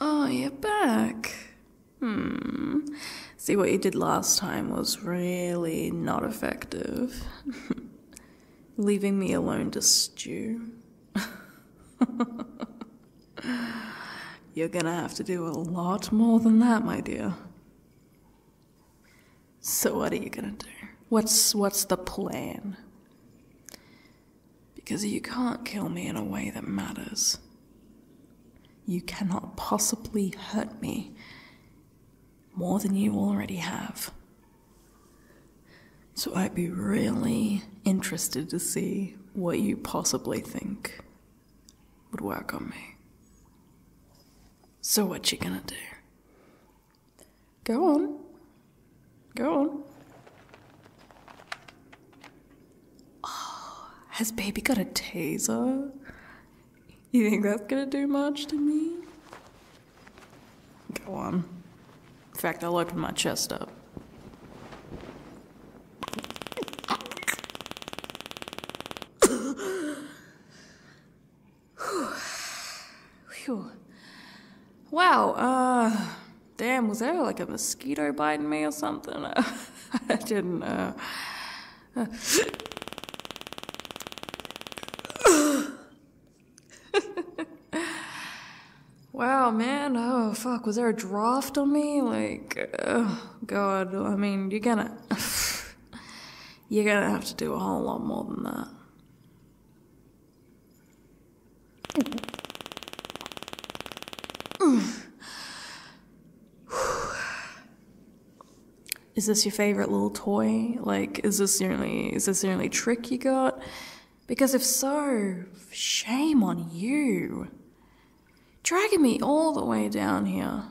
oh, you're back. Hmm. See, what you did last time was really not effective. Leaving me alone to stew. You're gonna have to do a lot more than that, my dear. So what are you gonna do? What's what's the plan? Because you can't kill me in a way that matters. You cannot possibly hurt me more than you already have. So I'd be really interested to see what you possibly think would work on me. So what you gonna do? Go on. Go on. Oh, has baby got a taser? You think that's gonna do much to me? Go on. In fact, I'll open my chest up. Whew. Wow, uh, damn, was there like a mosquito biting me or something? I didn't, know wow, man. Oh, fuck. Was there a draft on me? Like, oh, God. I mean, you're gonna. you're gonna have to do a whole lot more than that is this your favorite little toy? Like, is this the only, is this only trick you got? Because if so, shame on you. Dragging me all the way down here.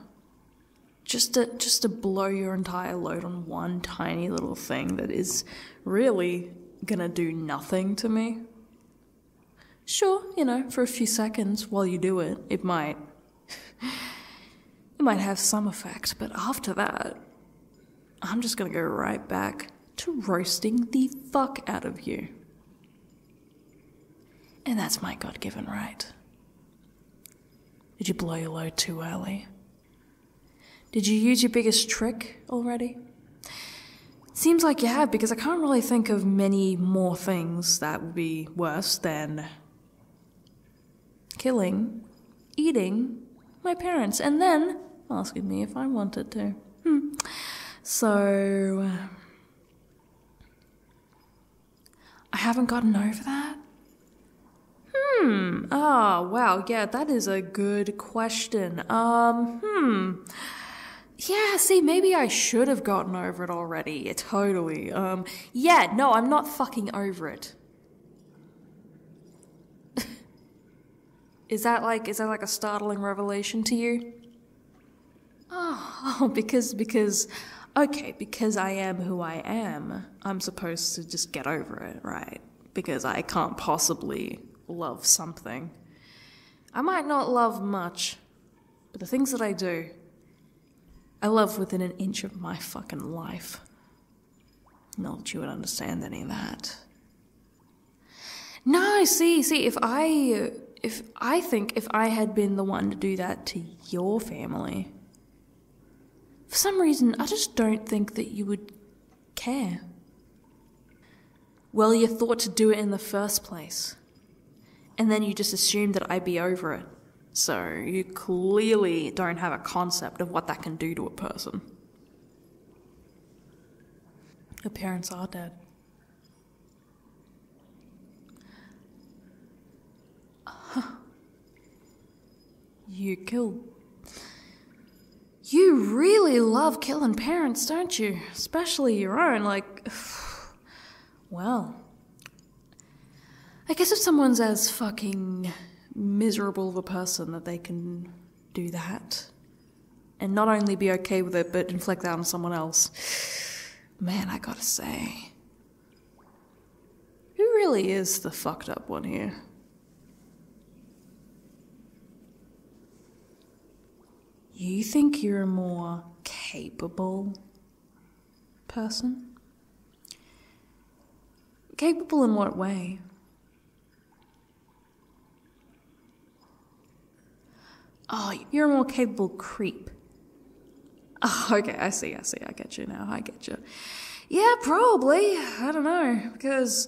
Just to, just to blow your entire load on one tiny little thing that is really gonna do nothing to me. Sure, you know, for a few seconds while you do it, it might it might have some effect, but after that, I'm just gonna go right back to roasting the fuck out of you. And that's my God given right. Did you blow your load too early? Did you use your biggest trick already? Seems like you have, because I can't really think of many more things that would be worse than killing, eating my parents, and then asking me if I wanted to. Hmm. So uh, I haven't gotten over that. Hmm. Ah, wow. Yeah, that is a good question. Um, hmm. Yeah, see, maybe I should have gotten over it already. Totally. Um, yeah, no, I'm not fucking over it. is that like is that like a startling revelation to you? Oh, because because okay, because I am who I am, I'm supposed to just get over it, right? Because I can't possibly love something. I might not love much, but the things that I do, I love within an inch of my fucking life. Not that you would understand any of that. No, see, see, if I, if I think if I had been the one to do that to your family, for some reason, I just don't think that you would care. Well, you thought to do it in the first place and then you just assume that I'd be over it. So you clearly don't have a concept of what that can do to a person. Your parents are dead. You kill. You really love killing parents, don't you? Especially your own, like. Well, I guess if someone's as fucking miserable of a person that they can do that and not only be okay with it but inflict that on someone else, man, I gotta say. Who really is the fucked up one here? You think you're more capable person? Capable in what way? Oh, you're a more capable creep. Oh, okay, I see, I see, I get you now, I get you. Yeah, probably. I don't know, because.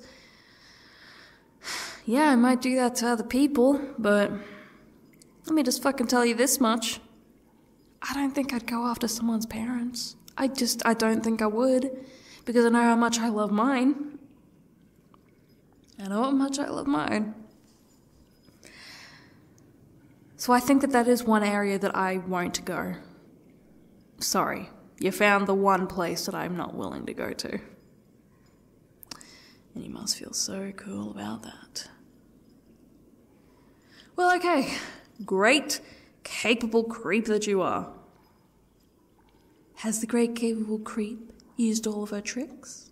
Yeah, I might do that to other people, but. Let me just fucking tell you this much. I don't think I'd go after someone's parents. I just, I don't think I would because I know how much I love mine. I know how much I love mine. So I think that that is one area that I won't go. Sorry, you found the one place that I'm not willing to go to. And you must feel so cool about that. Well, okay. Great, capable creep that you are. Has the great capable creep used all of her tricks?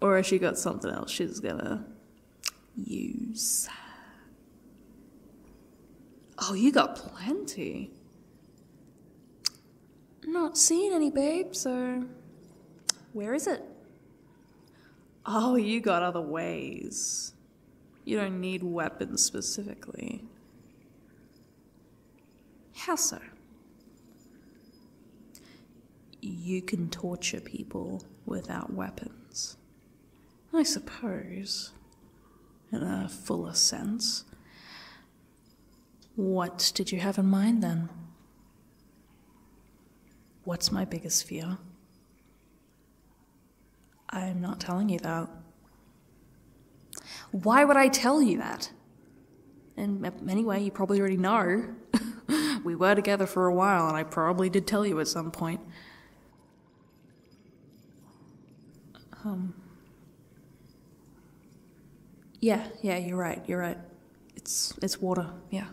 Or has she got something else she's gonna use? Oh, you got plenty. Not seen any, babe, so where is it? Oh, you got other ways. You don't need weapons specifically. How so? You can torture people without weapons. I suppose, in a fuller sense. What did you have in mind then? What's my biggest fear? I'm not telling you that. Why would I tell you that? In And anyway, you probably already know. we were together for a while, and I probably did tell you at some point. Um. Yeah, yeah, you're right, you're right. It's it's water. Yeah.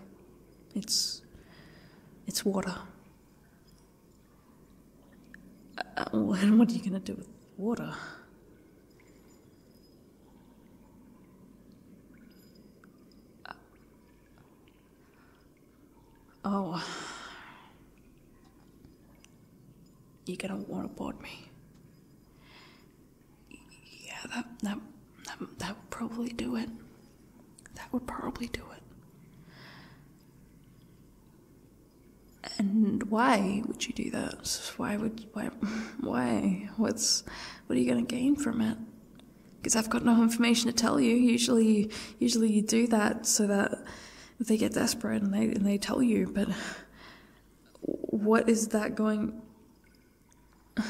It's it's water. Uh, uh, and what are you gonna do with water? Uh, oh, you're gonna want to board me yeah, that, that, that, that would probably do it. That would probably do it. And why would you do that? Why would why why? What's what are you going to gain from it? Because I've got no information to tell you. Usually, usually you do that so that they get desperate and they and they tell you. But what is that going?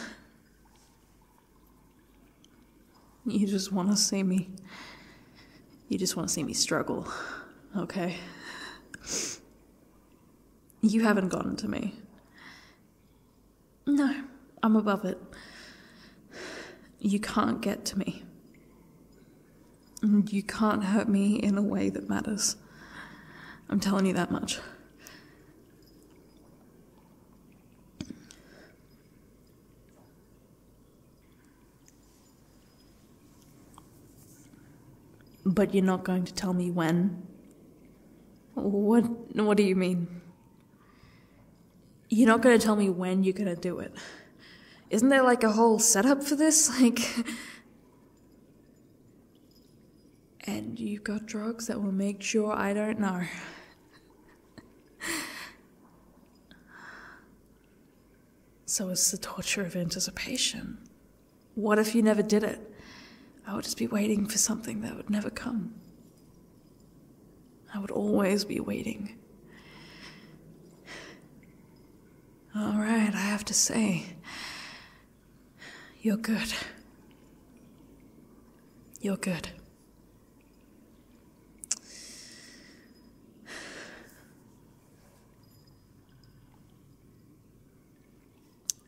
You just want to see me. You just want to see me struggle, okay? You haven't gotten to me. No, I'm above it. You can't get to me. You can't hurt me in a way that matters. I'm telling you that much. But you're not going to tell me when? What, what do you mean? You're not going to tell me when you're going to do it. Isn't there like a whole setup for this? Like and you've got drugs that will make sure I don't know. so it's the torture of anticipation. What if you never did it? I would just be waiting for something that would never come. I would always be waiting. Alright, I have to say, you're good. You're good.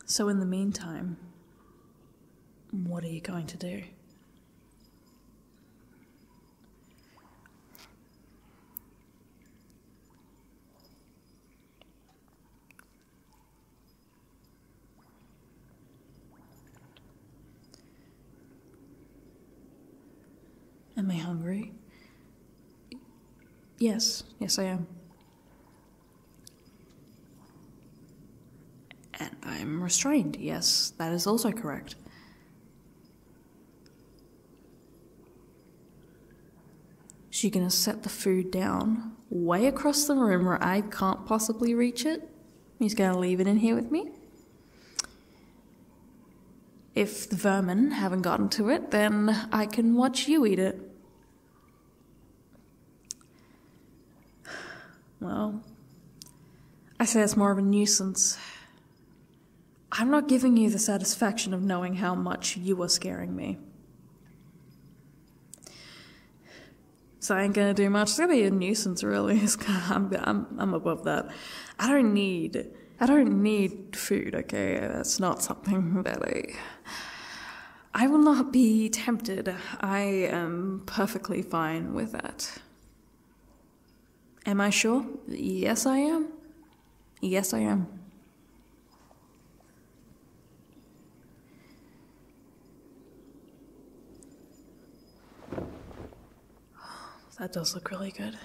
So, in the meantime, what are you going to do? Am I hungry? Yes, yes, I am. And I'm restrained. Yes, that is also correct. She's gonna set the food down way across the room where I can't possibly reach it. He's going to leave it in here with me. If the vermin haven't gotten to it, then I can watch you eat it. Well, I say it's more of a nuisance. I'm not giving you the satisfaction of knowing how much you are scaring me. So I ain't gonna do much. It's gonna be a nuisance, really. I'm, I'm, I'm above that. I don't need, I don't need food, okay? That's not something that I, I will not be tempted. I am perfectly fine with that. Am I sure? Yes, I am. Yes, I am. That does look really good.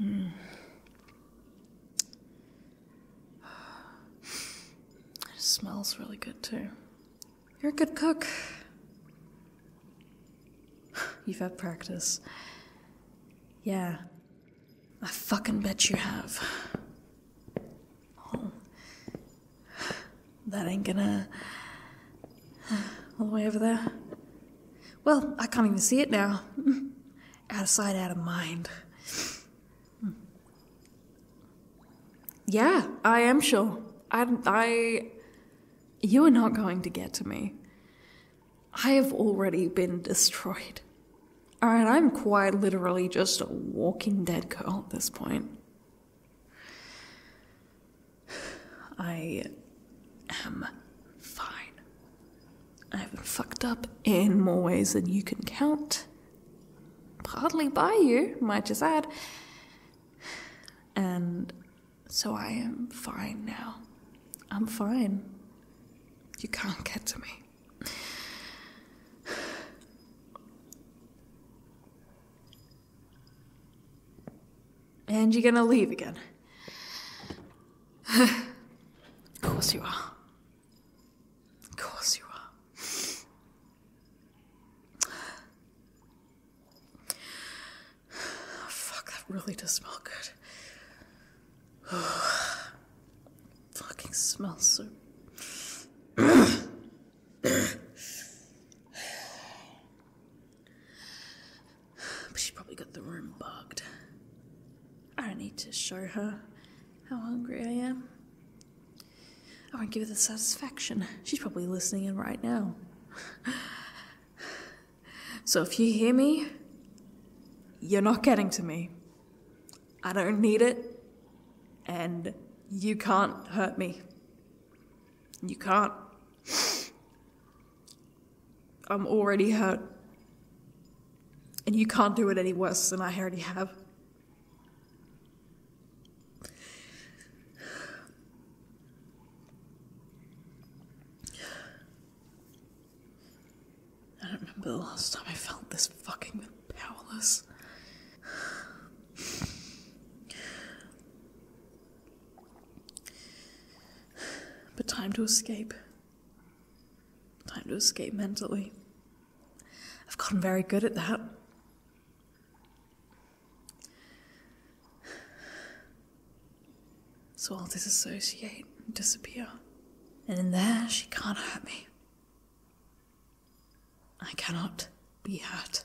Mm. It smells really good too. You're a good cook. You've had practice. Yeah, I fucking bet you have. Oh. That ain't gonna. All the way over there. Well, I can't even see it now. out of sight, out of mind. Yeah, I am sure. I, I. You are not going to get to me. I have already been destroyed. Alright, I'm quite literally just a walking dead girl at this point. I am fine. I've been fucked up in more ways than you can count. Partly by you, might just add. And so I am fine now. I'm fine. You can't get to me. And you're gonna leave again. of course you are. Of course you are. Fuck, that really does smell good. Fucking smells so. but she probably got the room bugged. I don't need to show her how hungry I am. I won't give her the satisfaction. She's probably listening in right now. so if you hear me, you're not getting to me. I don't need it, and you can't hurt me. You can't. I'm already hurt, and you can't do it any worse than I already have. I don't remember the last time I felt this fucking powerless. But time to escape. Time to escape mentally. I've gotten very good at that. So I'll disassociate and disappear. And in there, she can't hurt me. I cannot be hurt.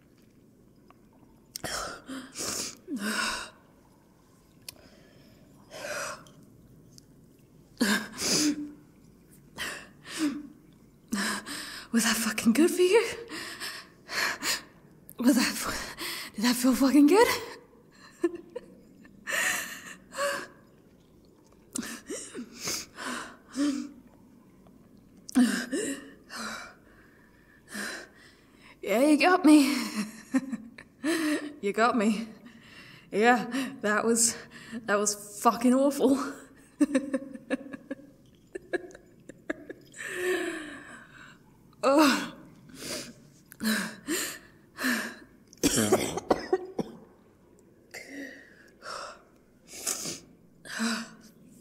Was that fucking good for you? Was that. Did that feel fucking good? Yeah, you got me. you got me. Yeah, that was that was fucking awful. oh.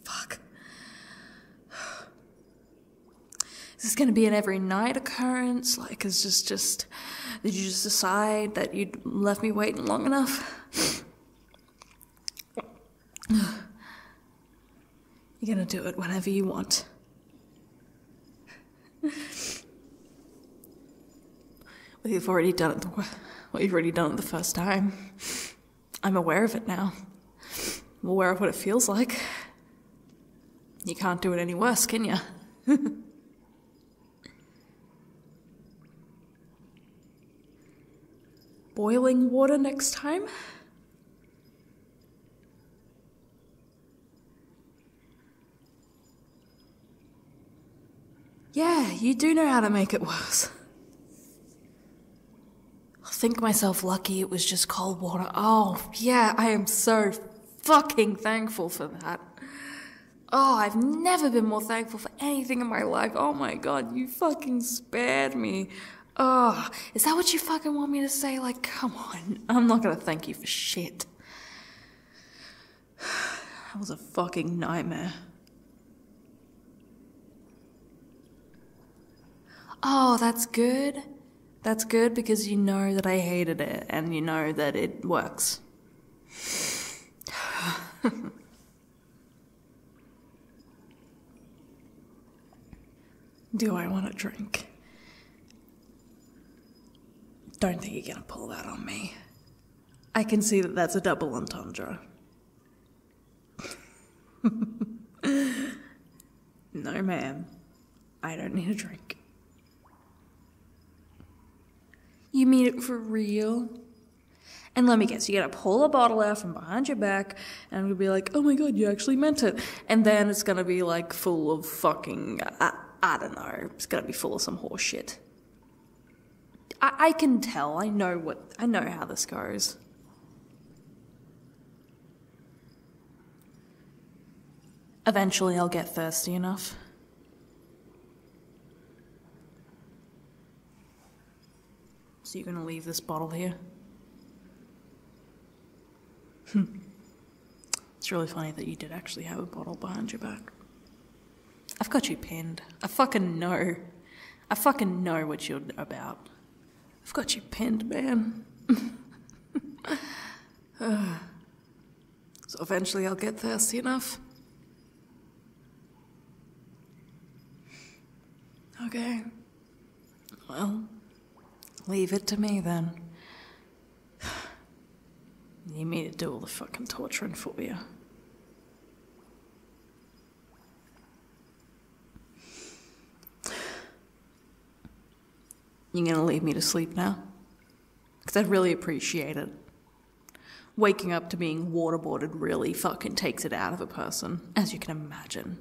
Fuck. Is this going to be an every night occurrence? Like, is just just did you just decide that you'd left me waiting long enough? You're gonna do it whenever you want. well, you've already done it. well, you've already done it the first time. I'm aware of it now. I'm aware of what it feels like. You can't do it any worse, can you? Boiling water next time? Yeah, you do know how to make it worse i think myself lucky it was just cold water. Oh, yeah, I am so fucking thankful for that. Oh, I've never been more thankful for anything in my life. Oh my god, you fucking spared me. Oh, is that what you fucking want me to say? Like, come on. I'm not gonna thank you for shit. That was a fucking nightmare. Oh, that's good. That's good because you know that I hated it and you know that it works. Do I want a drink? Don't think you're gonna pull that on me. I can see that that's a double entendre. no, ma'am. I don't need a drink. You mean it for real? And let me guess, you're gonna pull a bottle out from behind your back and I'm be like, oh my god, you actually meant it. And then it's gonna be like full of fucking, I, don't know, it's gonna be full of some horseshit. I can tell, I know what, I know how this goes. Eventually, I'll get thirsty enough. So, you're gonna leave this bottle here? Hmm. It's really funny that you did actually have a bottle behind your back. I've got you pinned. I fucking know. I fucking know what you're about. I've got you pinned, man. so eventually I'll get thirsty enough. Okay. Well, leave it to me then. You need to do all the fucking torturing for you. You are gonna leave me to sleep now? Because i really appreciate it. Waking up to being waterboarded really fucking takes it out of a person, as you can imagine.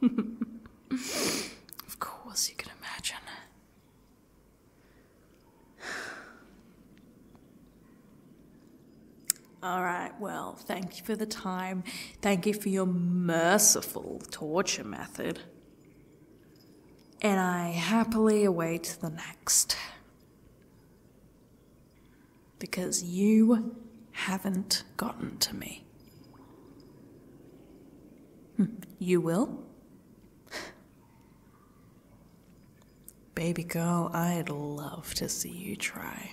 of course, you can imagine. All right, well, thank you for the time. Thank you for your merciful torture method. And I happily await the next. Because you haven't gotten to me. You will? Baby girl, I'd love to see you try.